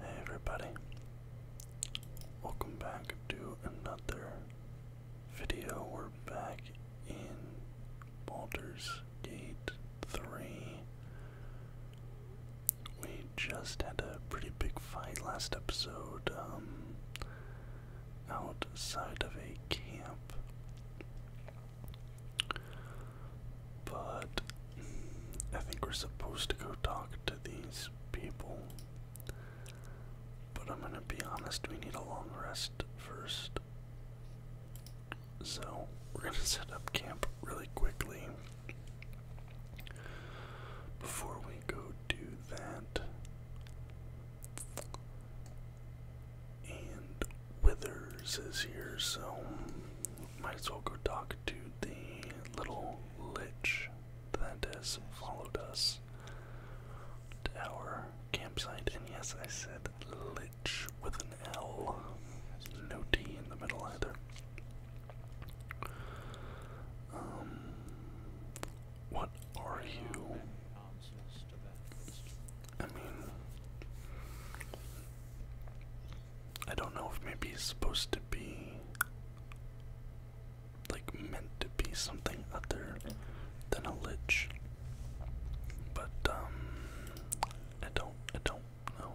Hey everybody, welcome back to another video. We're back in Baldur's Gate 3. We just had a pretty big fight last episode um, outside of a camp. But I think we're supposed to go talk to these people. But I'm gonna be honest, we need a long rest first. So we're gonna set up camp really quickly. Before we go do that, and Withers is here, so might as well go talk to the little lich that has followed us to our campsite. And yes, I said lich with an L, no T in the middle either. Um, what are you? I don't know if maybe he's supposed to be like meant to be something other than a lich. But um I don't I don't know.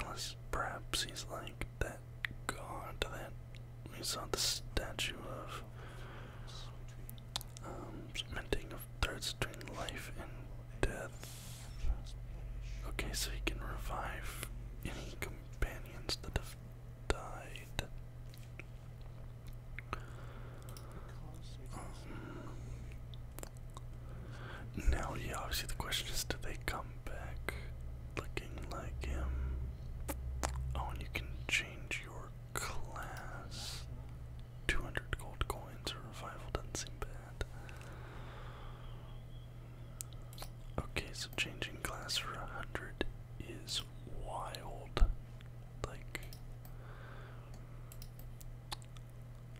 Unless perhaps he's like that god that we saw the statue of um minting of threads between life and death. Okay, so he can revive any companions that have died. Um, now, yeah, obviously the question is, do they come back looking like him? Oh, and you can change your class. 200 gold coins or revival doesn't seem bad. Okay, so changing class for 100 is wild. Like,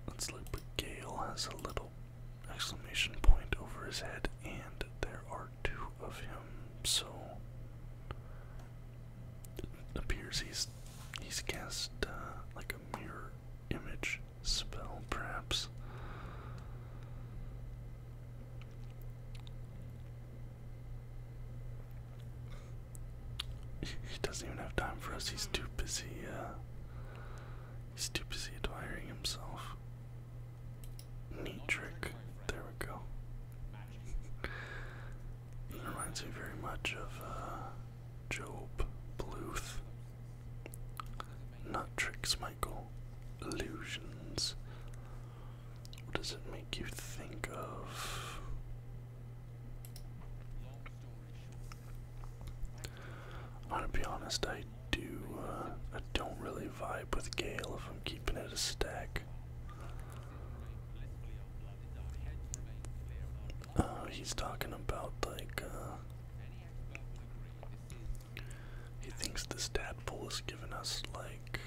let's look, but Gale has a little exclamation point over his head, and there are two of him, so it appears he's he's cast uh, like a mirror image spell, perhaps. He doesn't even have time for us. He's too busy. Uh, he's too busy admiring himself. Neat trick. There we go. It reminds me very much of uh, Job Bluth not tricks Michael. illusions. What does it make you think of? I'm to be honest, I do, uh, I don't really vibe with Gale if I'm keeping it a stack. Uh, he's talking about like uh, he thinks this tadpole has given us like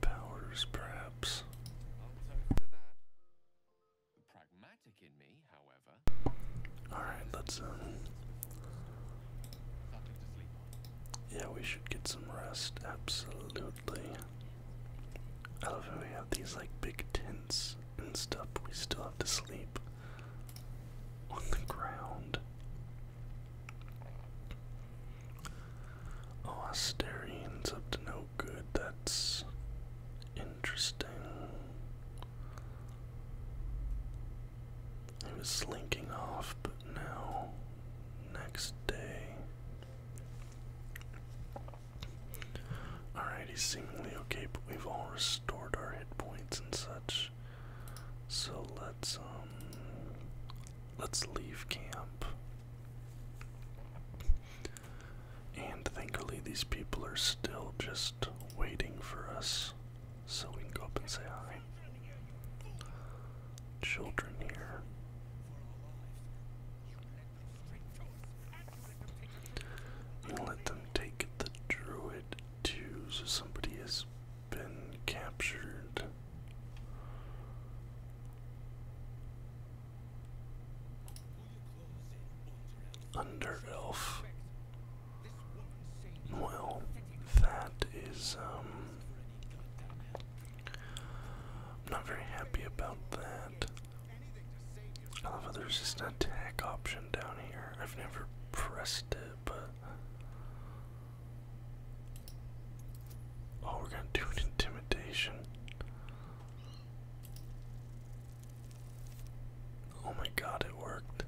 powers, perhaps. All right, let's um, Yeah, we should get some rest. Absolutely. I love how we have these like big tents and stuff, we still have to sleep on the ground. Oh, Asterian's up to no good. That's interesting. He was slinking off, but now, next day. Alrighty, seemingly okay, but we've all restored our hit points and such. So let's um let's leave camp. And thankfully these people are still just waiting for us. So we can go up and say hi. Children here let them take the druid too, so somebody has been captured. Under elf. Well, that is, um. I'm not very happy about that. I there's just an attack option down here. I've never pressed it, but. Oh, we're gonna do an intimidation. Oh my god, it worked.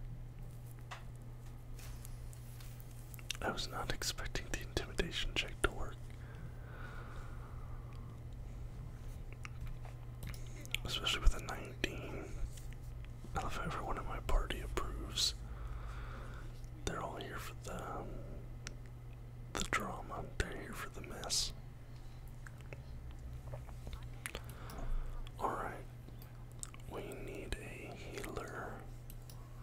I was not expecting the intimidation check to work. Especially with a 19. I everyone in my party approves. They're all here for the, um, the drama, they're here for the mess. Alright. We need a healer.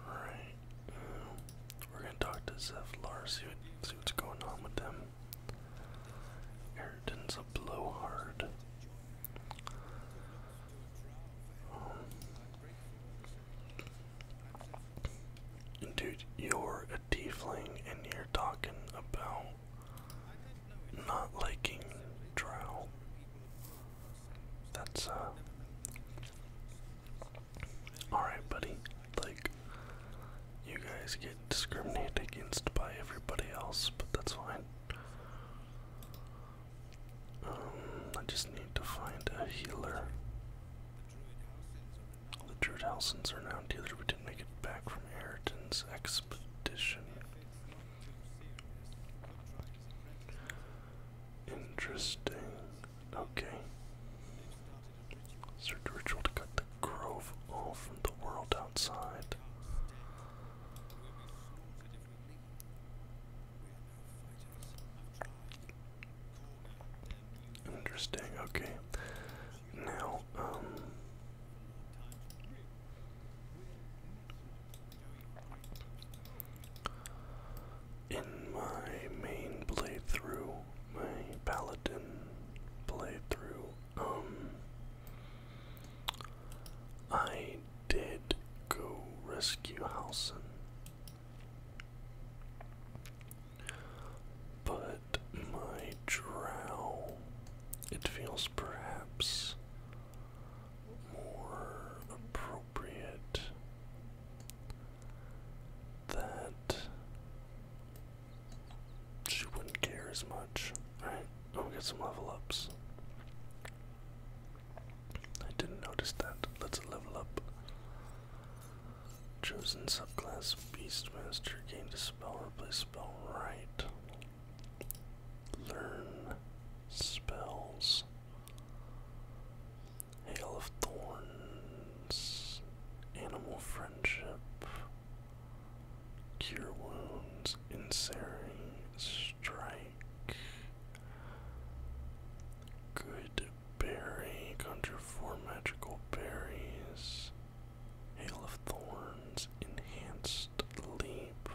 Alright. Um, we're gonna talk to Zevlar, see, see what's going on with them. Ayrton's a blowhard. Um, dude, you're a tiefling and you're talking about not liking drow. That's, uh. Alright, buddy. Like, you guys get discriminated against by everybody else, but that's fine. Um, I just need to find a healer. The Druidhelsons are now dealers. We didn't make it back from Ayrton's expedition. Interesting. Okay. Search ritual to cut the grove off from the world outside. Interesting, okay. Now, um, in my main playthrough my paladin playthrough, um, I did go rescue Halson. But my drow, it feels perhaps more appropriate that she wouldn't care as much. Alright, I'll get some level ups. I didn't notice that. Let's level up. Chosen subclass Beastmaster gained a spell, replace spell right. Learn spells. Hail of Thorns. Animal Friendship. Cure wounds, Ensnaring Strike, Good Berry, conjure four magical berries, Hail of Thorns, Enhanced Leap.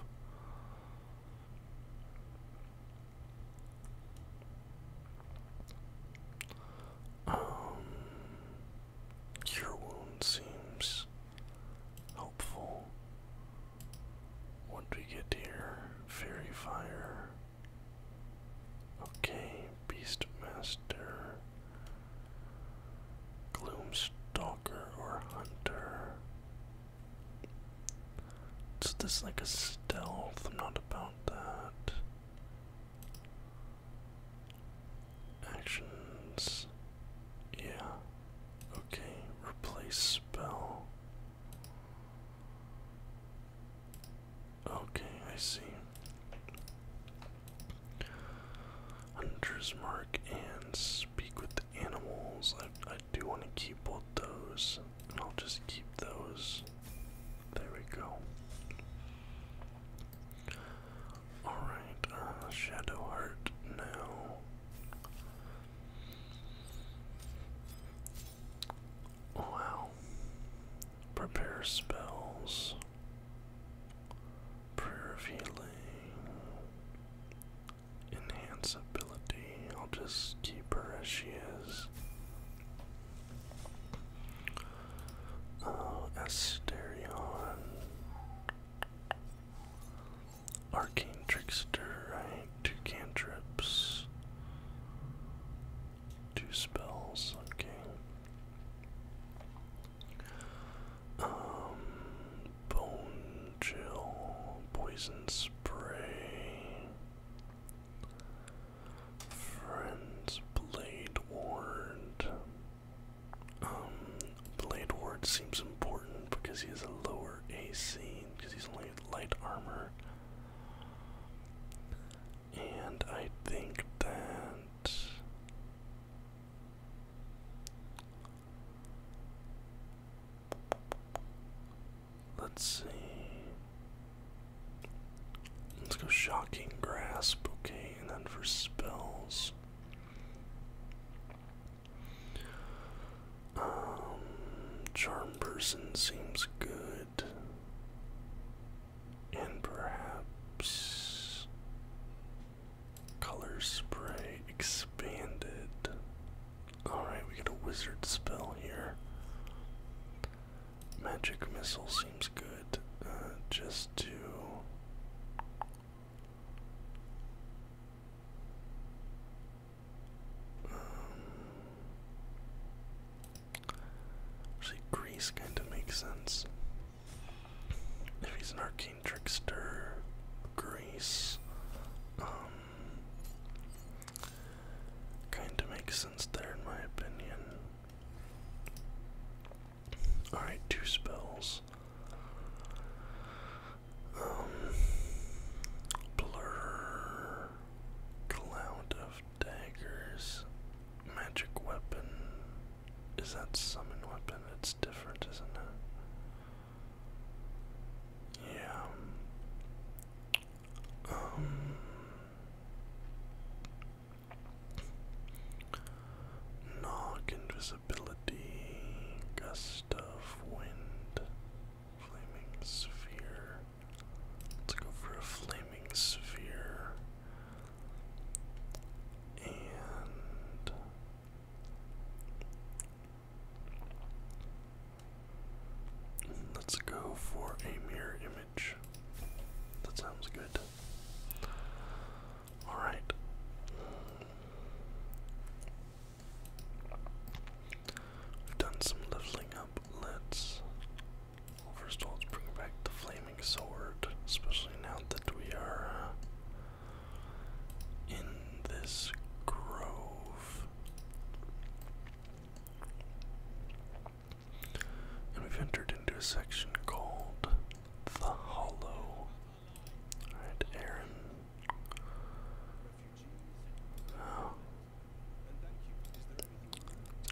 Um, your wound seems helpful. What we get here? Fairy fire. Okay, Beastmaster. Gloomstalker or Hunter. So this like a stealth, I'm not about that. Actions. Yeah. Okay. Replace spell. Okay, I see. Hunter's Mark and Speak with Animals. I, I do want to keep both those. And I'll just keep those. There we go. Alright, uh, Shadow Heart now. Wow. Prepare spells. Prayer of healing. Enhance ability. I'll just keep her as she is. Uh, Asterion. Arcane Trickster, Two cantrips. Two spells, okay. Um, Bone Chill, Poison Spray, Friend's Blade Ward, Blade um, Ward seems important because he has a lower AC because he's only light armor. And I think that let's see. Let's go shocking grasp, okay and then for spells. Um, charm person seems good. And perhaps color spray expanded. Alright, we got a wizard spell here. Magic missile seems good. Uh, just to actually um, Greece kind of makes sense. If he's an arcane trickster, Greece um, kind of makes sense there in my opinion. Alright, two spells. Um, blur, cloud of daggers, magic weapon. Is that summon weapon? It's different, isn't it? Yeah. Um, Knock, invisibility, gust of wind, flaming sphere. Let's go for a flaming sphere. And let's go for a mirror that sounds good. Alright. We've done some leveling up. Let's. first of all, let's bring back the flaming sword, especially now that we are uh, in this grove. And we've entered into a section called The Hollow. Alright, Aaron. Oh.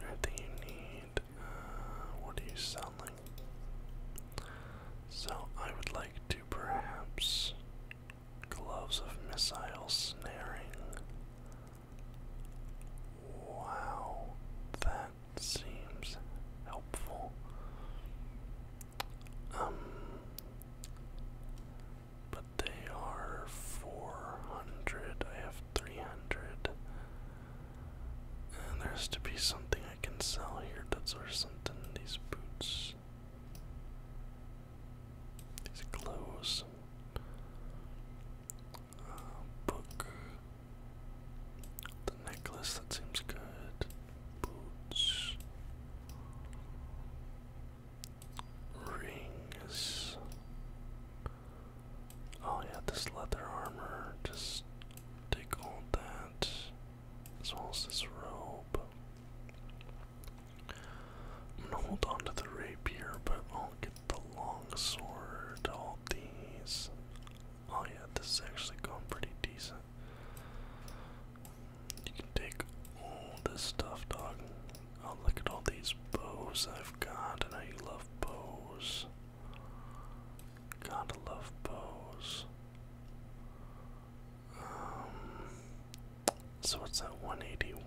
Is you need? Uh, what are you selling? So I would like to perhaps gloves of missile snaring. Wow, that seems helpful. Um, but they are 400, I have 300. And there has to be something I can sell here that's or something. These boots, these clothes book. The necklace, that seems good. Boots. Rings. Oh, yeah, this leather armor. Just take all that. As well as this robe. I'm gonna hold on to the rapier, but I'll get the long sword. All these. Oh yeah, this is actually going pretty decent. You can take all this stuff, dog. Oh, look at all these bows I've got. I love bows. Gotta love bows. Um, so what's that 181?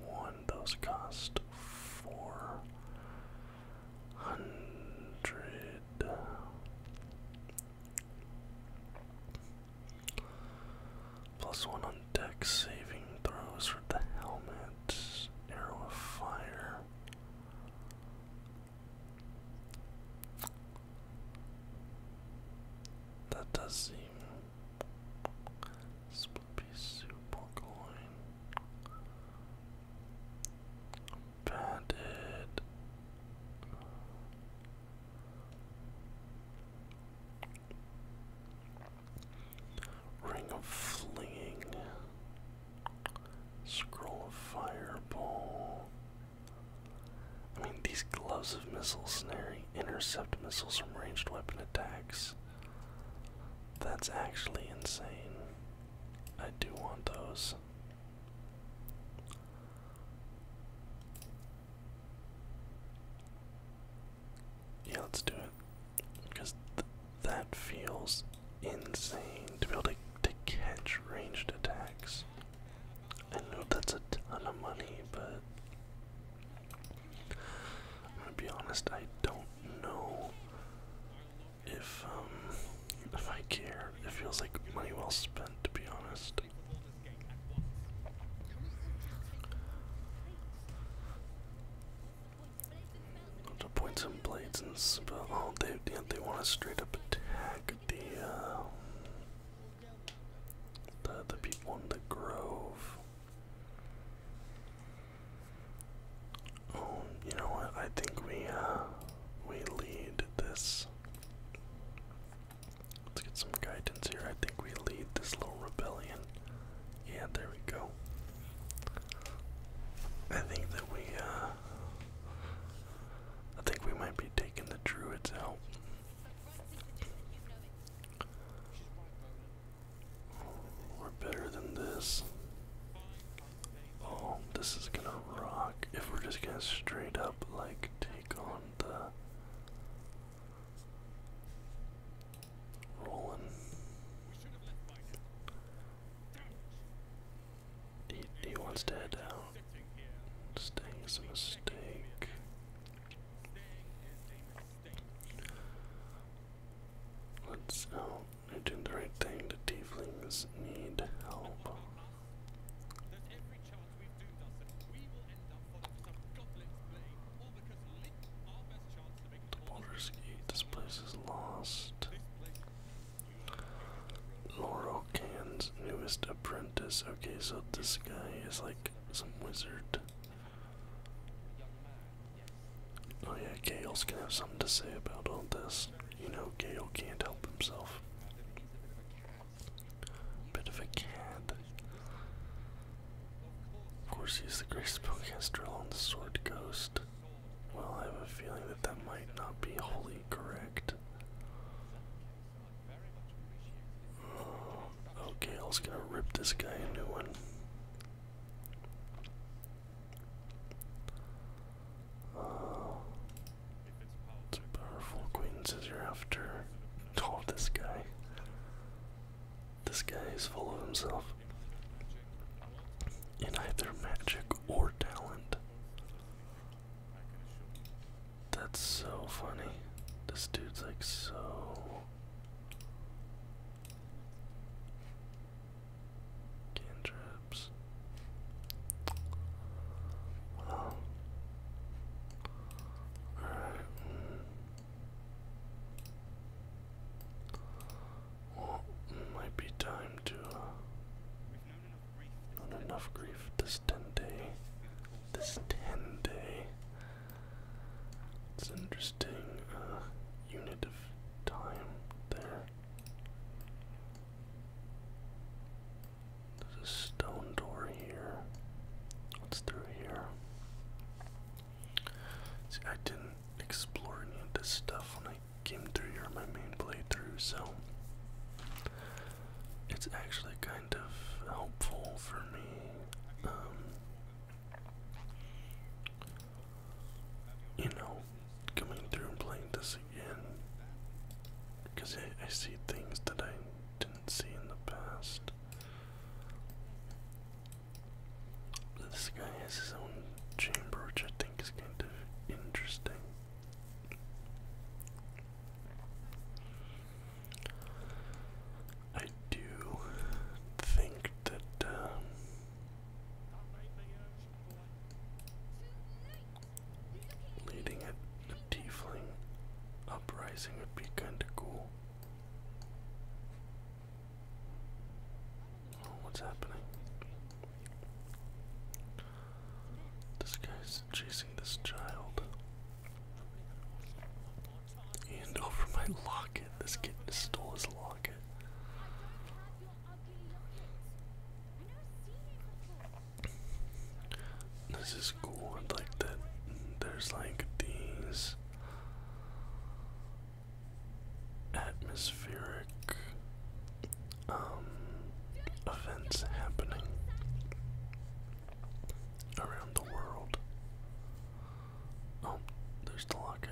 Those cost four hundred plus one on deck saving throws for the helmet, arrow of fire. That does seem split piece super coin bandit. Ring of flinging. Scroll of fireball. I mean, these gloves of missile snaring intercept missiles from ranged weapon attacks. That's actually insane. I do want those. Yeah, let's do it. Because that feels insane to be able to, to catch ranged attacks. I know that's a ton of money, but I'm gonna be honest, I don't know if um if I care. It feels like money well spent, to be honest. The points and blades and Oh, they yeah, they want to straight up attack the um, the people in the grove. Oh, you know what? I think we uh, we lead this. Let's get some guidance here. I think we lead this little rebellion. Yeah, there we go. I think that we uh, I think we might be taking the druids out. We're better than this. Oh, this is gonna rock if we're just gonna straight up like take on the rolling. He, he wants to head out. Staying's a mistake. Let's, oh, I did the right thing. The tieflings need help. The Baldur's this place is lost. Laurel Can's newest apprentice. Okay, so this guy is like some wizard. Oh yeah, Gale's gonna have something to say about all this you know, Gale can't help himself. Bit of a cad. Of course, he's the great spellcaster on the Sword Ghost. Well, I have a feeling that that might not be wholly correct. Oh, okay, gonna rip this guy a new one. Uh, powerful queen scissor after. Oh, this guy. This guy is full of himself. In either magic or talent. That's so funny. This dude's like so. Cantrips. Well. Alright. Mm, well, mm, might be time to, uh, not enough grief this 10 day. This 10 day. It's an interesting, uh, unit of time there. There's a stone door here. What's through here? See, I didn't explore any of this stuff when I came through here my main playthrough, so it's actually kind of helpful for me. Um, you know, coming through and playing this again. Because I, see things that I didn't see in the past. This guy has his own chamber, which I think is kind of interesting. I do think that um, Leading it, the tiefling uprising would be kinda cool. what's happening? This guy's chasing this child. And over my locket, this kid stole his locket. This is cool. like that there's like these atmospheric um, events happening around the world. Oh, there's the locket.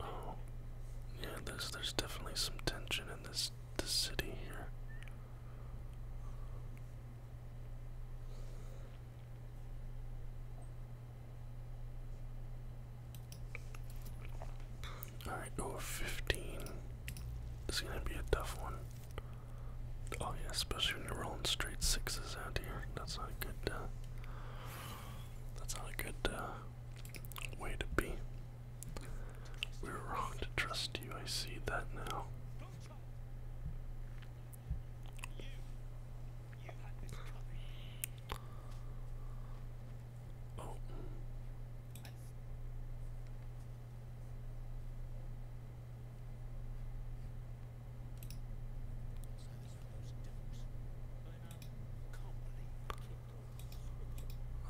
Oh, yeah. There's there's definitely some tension in this this city here. Alright, oh, 15. This is gonna be a tough one. Oh, yeah, especially when you're rolling straight sixes out here. That's not good, that's not a good uh, way to be. We were wrong to trust you. I see that now. Oh.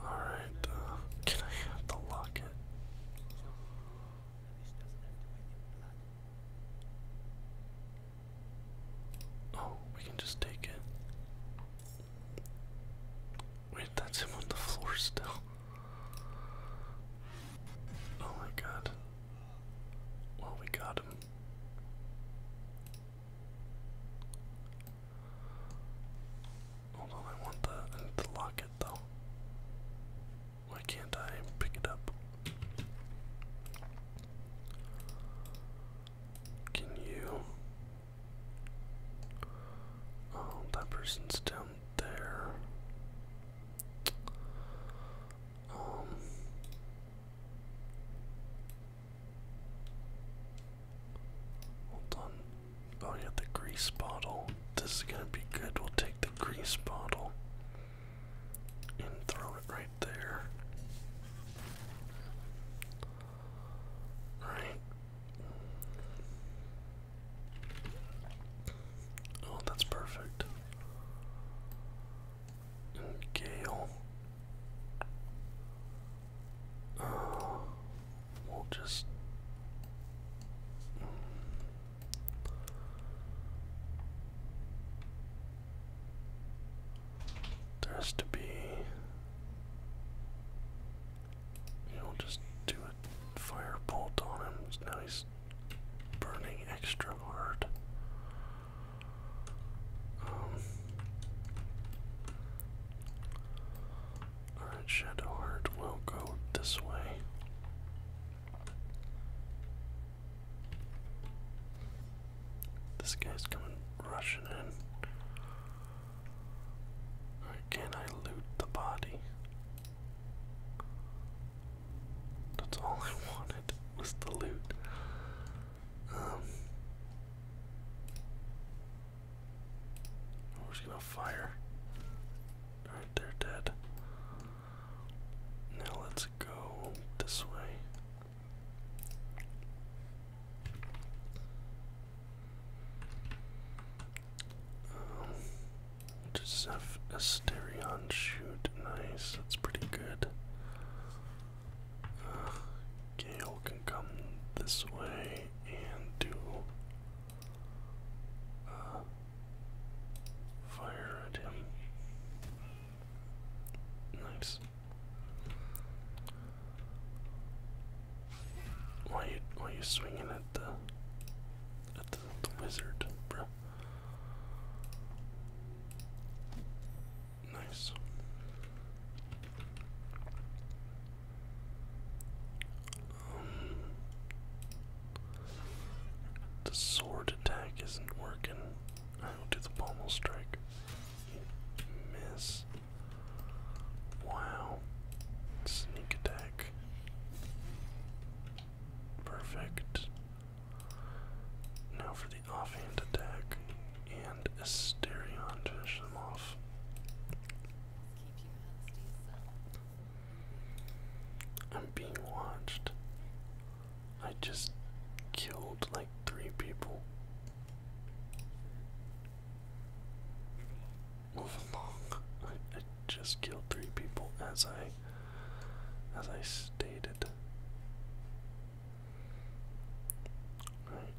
Alright, uh, can I have the locket? Oh, we can just take it. Wait, that's him on the floor still. Oh my god. Well, we got him. Although I want the to lock it though. Why can't I pick it up? Can you? Oh, that person's down there. Um, Hold on. Oh yeah, the grease bottle. This is gonna be good. We'll take the grease bottle and throw it right there. All right. Oh, that's perfect and Gale. Uh, we'll just. Mm. There has to be. You'll just do a firebolt on him. Now he's burning extra hard. Um, Alright, Shadowheart will go this way. This guy's coming rushing in. can I loot the body? That's all I wanted was the loot we're um, oh, just gonna fire. Alright, they're dead. Now let's go this way. Um, just have Asterion shoot. Nice, that's pretty good. Uh, Gale can come this way and do uh, fire at him. Nice. Why you why you swinging at the at the, wizard, bruh? Nice. Um, the sword attack isn't working. I will do the pommel strike. Miss. Wow. Sneak attack. Perfect. Now for the offhand attack and Asterion to finish them off. I'm being watched. I just killed like three people. Move along. I just killed three people as I as I stated.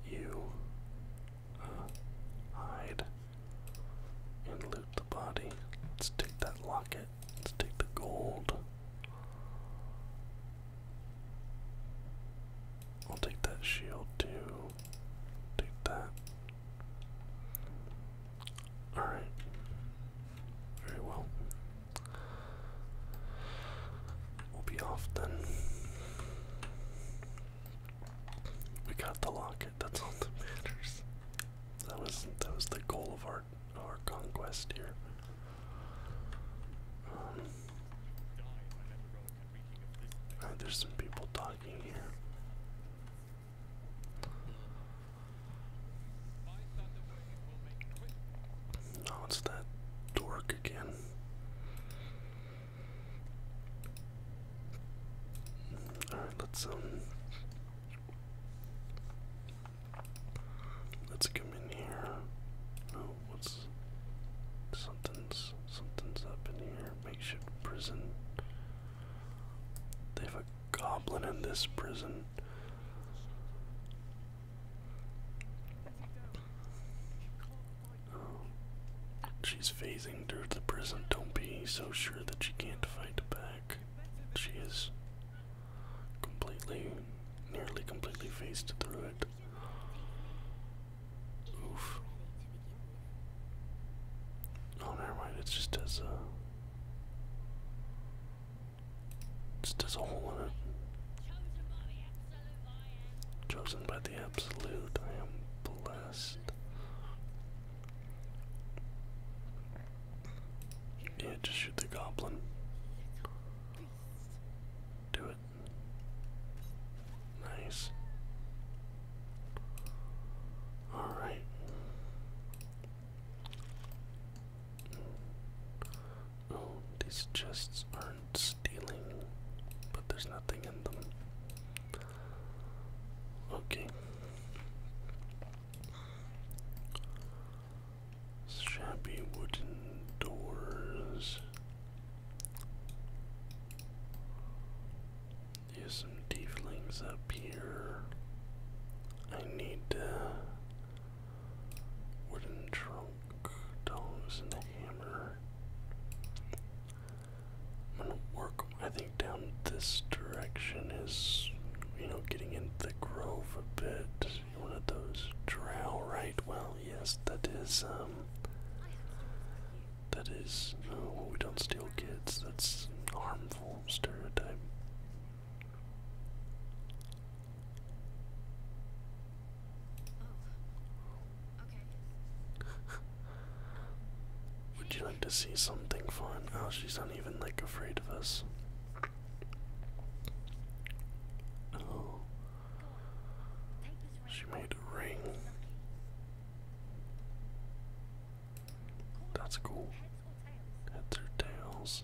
You uh, hide and loot the body. Let's take that locket. Let's take the gold. I'll take that shield too. Take that. Alright. Very well. We'll be off then. We got the locket, that's all that matters. That was that was the goal of our our conquest here. Um, ah, there's some people talking here. Oh, it's that dork again. Alright, let's um let's come in here. Oh, what's something's something's up in here. Makeshift prison. They have a goblin in this prison. Oh, she's phasing through the prison. Don't be so sure that she can't fight back. She is completely, nearly completely phased through it. Oof. Oh, never mind. It's just as uh, just as a hole in it. Chosen by the absolute, I am blessed. Yeah, just shoot the goblin. Do it. Nice. Alright. Oh, these chests aren't stealing, but there's nothing in them. Okay. Shabby wooden doors. There's some tieflings up here. I need to. Wooden trunk, dogs, and hammer. I'm gonna work, I think, down this direction is, you know, getting in the grove a bit. You're one of those drow, right? Well, yes, that is, um, that is, Oh, we don't steal kids. That's harmful stereotype. Oh. Would you like to see something fun? Oh, she's not even like afraid of us. Oh. She made a ring. That's cool. Heads or tails?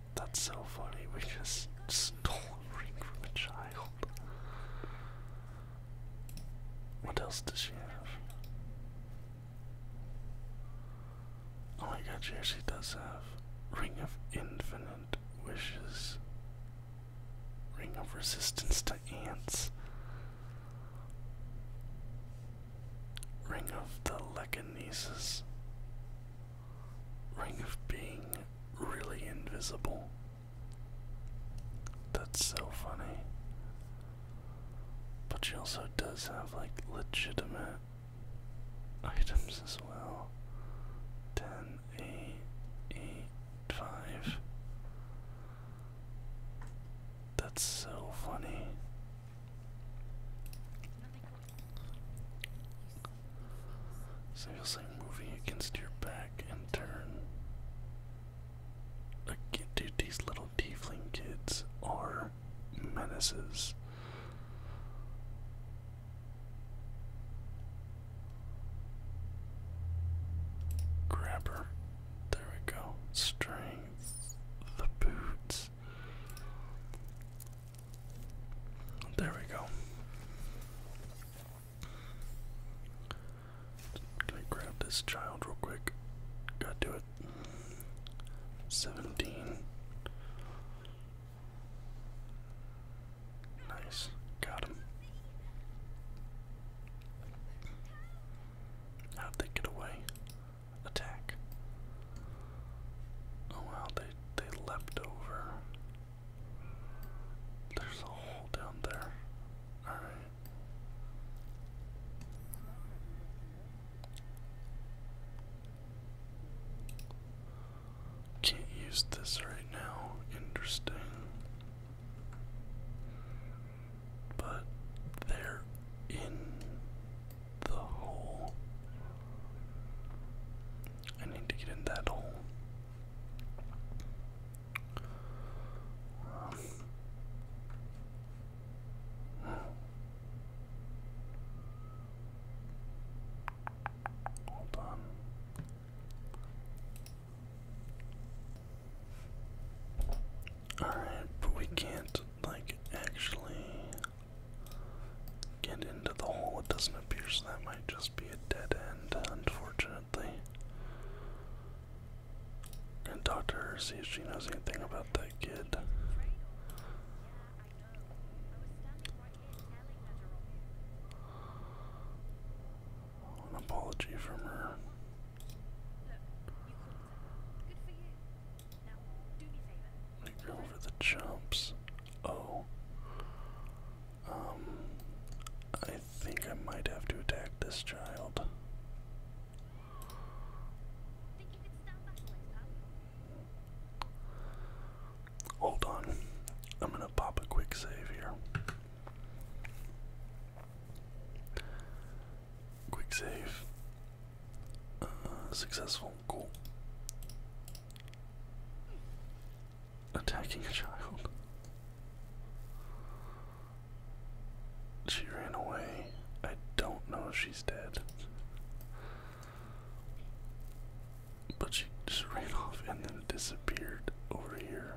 That's so funny, we just stole a ring from a child. What else does she have? Oh my god, She actually does have Ring of Infinite Wishes. Ring of Resistance to Ants. Ring of the Lecanesis. Ring of being really invisible. That's so funny. But she also does have like legitimate items as well. 10, 8, 8, 5. That's so funny. So you'll say moving against your back and turn. Again, dude, these little tiefling kids are menaces. Grabber. There we go. Strength. The boots. There we go. Can I grab this child real quick? Gotta it. 17. Nice. Got him. How'd they get away? attack. Oh wow, they they leapt over. There's a hole down there. Alright. Can't use this right now. Interesting. But they're in the hole. I need to get in that hole. Hold on. Alright, but we can't, like, actually get into the hole. It doesn't appear, so that might just be a dead end, unfortunately. And talk to her, see if she knows anything about that kid. An apology from her. They go over the jumps. Oh. Um, I think I might have to attack this child. Hold on. I'm going to pop a quick save here. Quick save. Uh, successful. Cool. Attacking a child. She ran away. I don't know if she's dead. But she just ran off and then disappeared over here.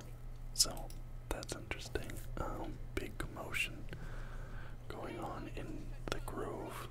So that's interesting. Um, big commotion going on in the grove.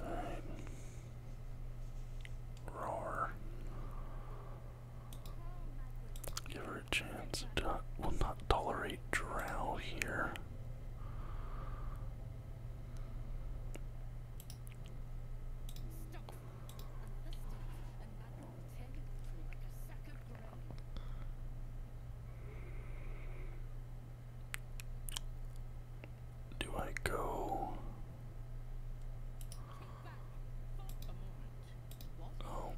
Alright. Roar. Give her a chance. will not tolerate drow here. Do I go? Oh,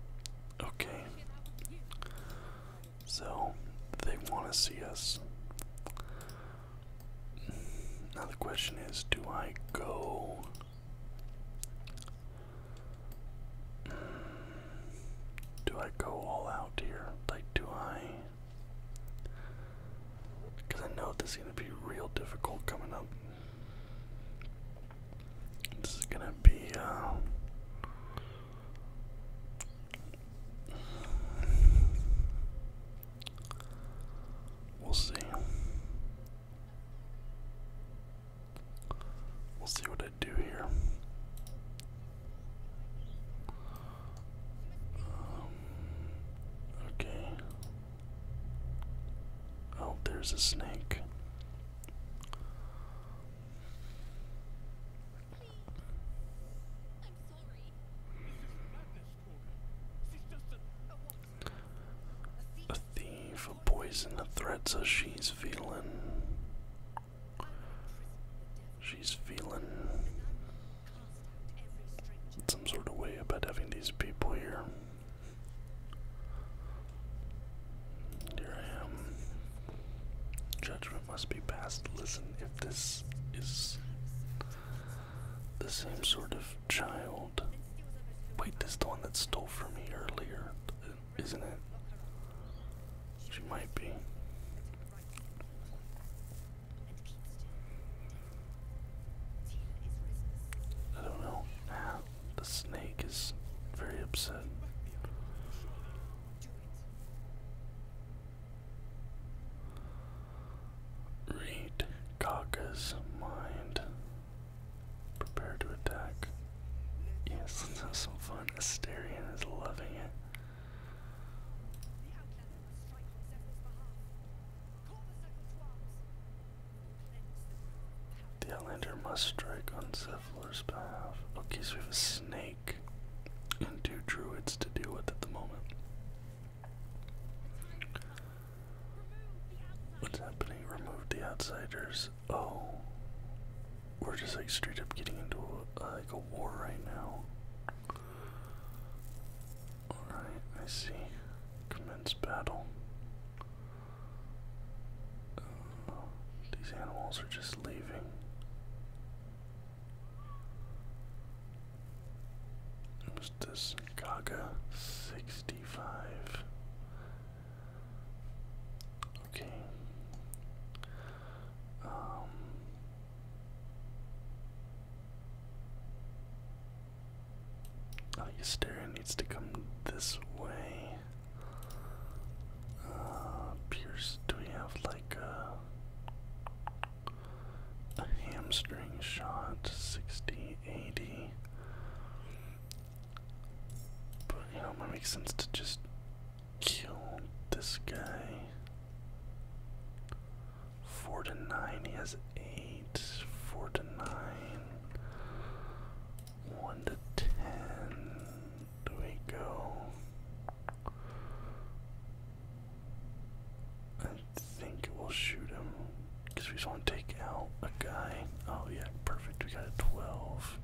okay. So they want to see us. Now the question is, do I go? Do I go all out here? Like, do I? Because I know this is going to be real difficult coming up. This is going to be, um, We'll see. We'll see what I do here. Um, okay. Oh, there's a snake. A thief, a poison, a threat, so she's feeling. She's feeling some sort of way about having these people here. Here I am. Judgment must be passed. Listen, if this is the same sort of child. Wait, this is the one that stole from me earlier, isn't it? She might be. I don't know. the snake is very upset. Read Kaka's mind. Prepare to attack. Yes, let's have fun. Asterion is loving it. The Outlander must strike on Zephyrs' behalf. Okay, so we have a snake and two druids to deal with at the moment. What's happening? Remove the outsiders. Oh. We're just like straight up getting into like a war right now. Alright, I see. Commence battle. Um, these animals are just leaving. Who's this? Gaga 65. Okay. Um Oh, Yustera needs to come this way. Uh, Pierce, do we have like a, hamstring shot? 60, 80. But you might make sense to just kill this guy. Four to nine. He has eight. Four to nine. One to ten. Do we go? I think we'll shoot him because we just want to take out a guy. Oh yeah, perfect. We got a twelve.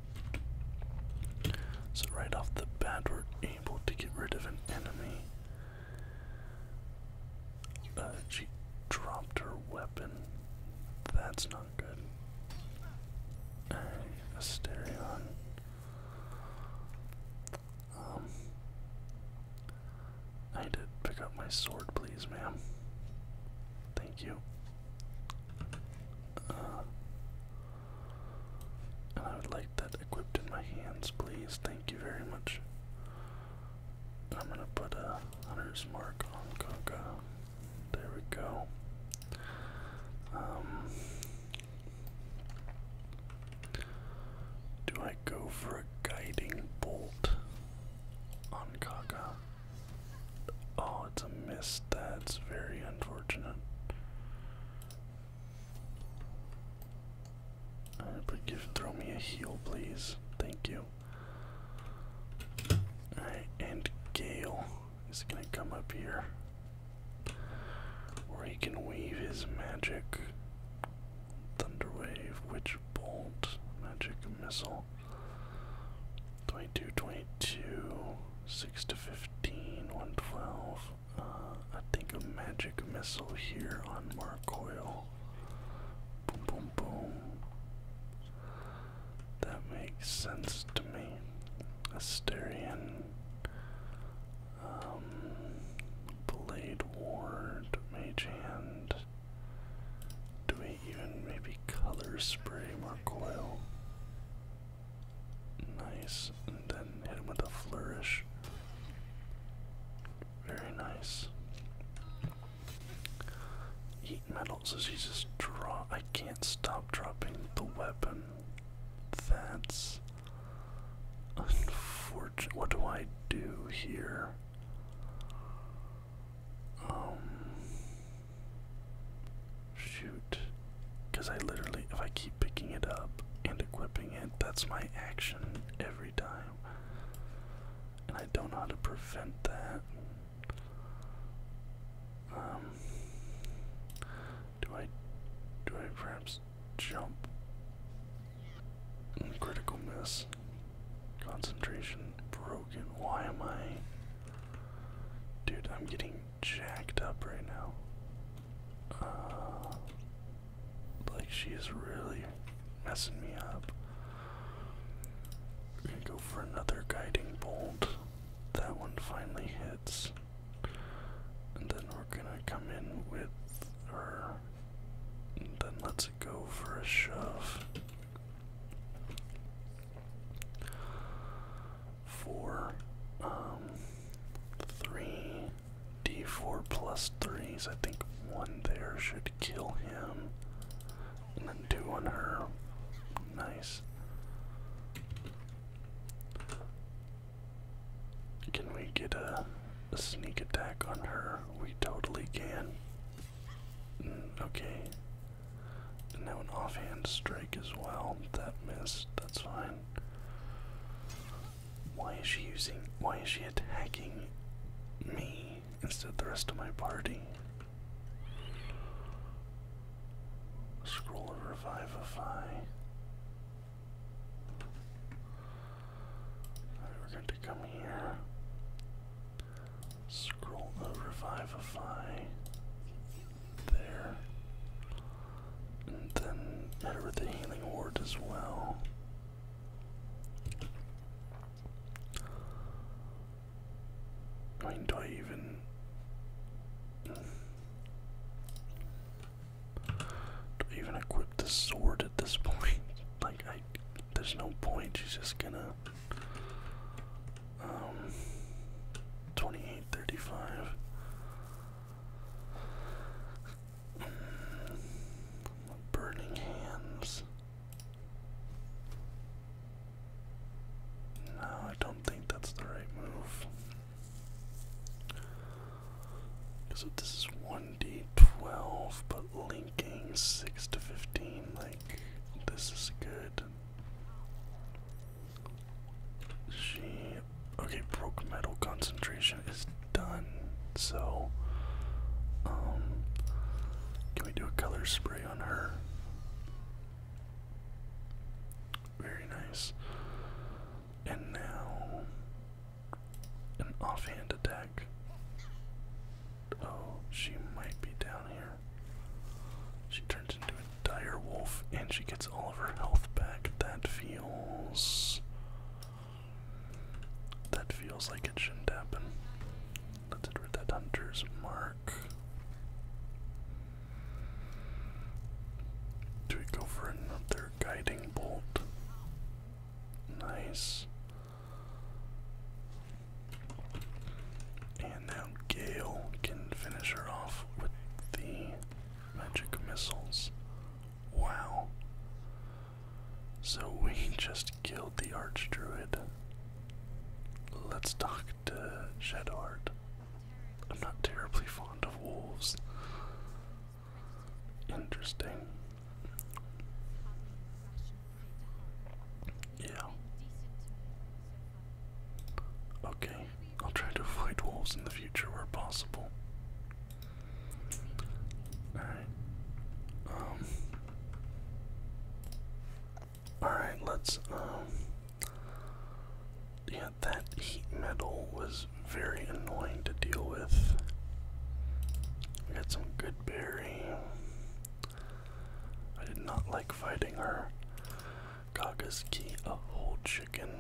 So right off the bat, we're able to get rid of an enemy she dropped her weapon. That's not good. Asterion. Um, I did pick up my sword, please, ma'am. Thank you. Uh, and I would like that equipped in my hands, please. Thank Thank you very much. I'm gonna put a hunter's mark on Coca. There we go. Um, do I go for a guiding bolt on Kaka? Oh, it's a miss. That's very unfortunate. Alright, give throw me a heal, please. Thank you. and Gale is gonna come up here. Where he can weave his magic. Thunderwave, Witch Bolt, Magic Missile. 22, 22, 6 to 15, 112. Uh, I think a magic missile here on Marcoil. Boom, boom, boom. That makes sense to me. Asterian. Um, Blade Ward, Mage Hand. Do we even maybe color spray Marcoil? Nice, and then hit him with a flourish. Very nice. Heat metal, so she just draw. I can't stop dropping the weapon. That's unfortunate. What do I do here? Um, shoot. Because I literally, if I keep picking it up and equipping it, that's my action every time. And I don't know how to prevent that. Um, do I do I perhaps jump? Mm, critical miss. Concentration broken. Why am I Dude, I'm getting jacked up right now. Uh, like, she is really messing me up. We're gonna go for another guiding bolt. That one finally hits. And then we're gonna come in with her. then let's go for a shove. Four, um, three, d4 plus 3, so I think one there should kill him. And then two on her. Nice. Can we get a, sneak attack on her? We totally can. Mm, okay. And now an offhand strike as well. That missed. That's fine. Why is she using. Why is she attacking me instead of the rest of my party? Scroll of Revivify. Alright, we're going to come here. Scroll of Revivify. There. And then head the Healing Ward as well. I mean, do I even? Do I even equip the sword at this point? Like, there's no point. She's just gonna. Um, 28, Burning hands. No, I don't think that's the right move. So this is 1d12, but linking 6 to 15, like, this is good. She Okay, broke metal concentration is done. So, um, can we do a color spray on her? Very nice. And now, an offhand attack. Oh, she might be down here. She turns into a dire wolf and she gets all of her health back. That feels that feels like it shouldn't happen. Let's get mark. Do we go for another guiding bolt? Nice. And now Gale can finish her off with the magic missiles. Wow. So we just killed the arch druid. Let's talk to Shadowheart. I'm not terribly fond of wolves. Interesting. Yeah. Okay, I'll try to avoid wolves in the future where possible. All right. Um. All right. Let's. Um, yeah, that heat metal was very annoying to deal with. We got some good berry. I did not like fighting her. Kaga's a whole chicken.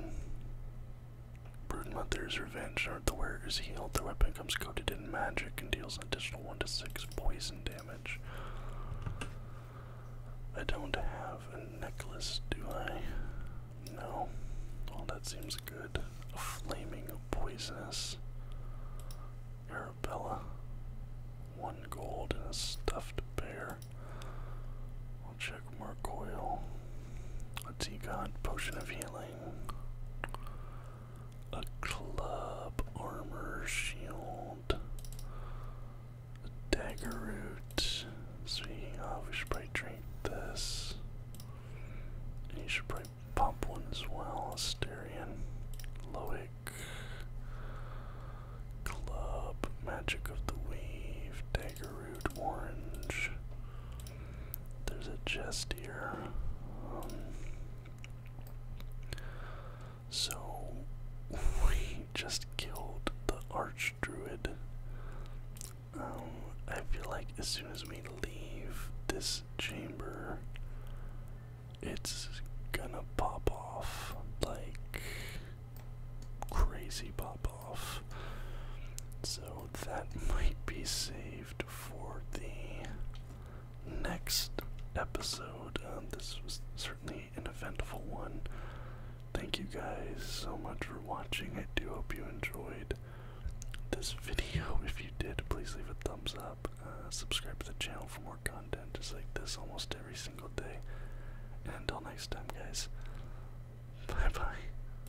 Broodmother's Revenge. The wearer is healed. The weapon comes coated in magic and deals additional 1 to 6 poison damage. I don't have a necklace, do I? No. Well, that seems good. A flaming poisonous. Arabella. One gold and a stuffed bear. check more coil. A tea god, potion of healing. A club, armor, shield, a dagger root. Speaking of, we should probably drink this. you should probably pump one as well. Asterion, Loic, Club, Magic of the weave, Dagger Root, Orange, there's a chest here. Um, so we just killed the arch druid. Um, I feel like as soon as we leave this chamber, it's gonna pop off like crazy pop so that might be saved for the next episode. Um, this was certainly an eventful one. Thank you guys so much for watching. I do hope you enjoyed this video. If you did, please leave a thumbs up. Uh, subscribe to the channel for more content just like this almost every single day. until next time, guys, bye bye.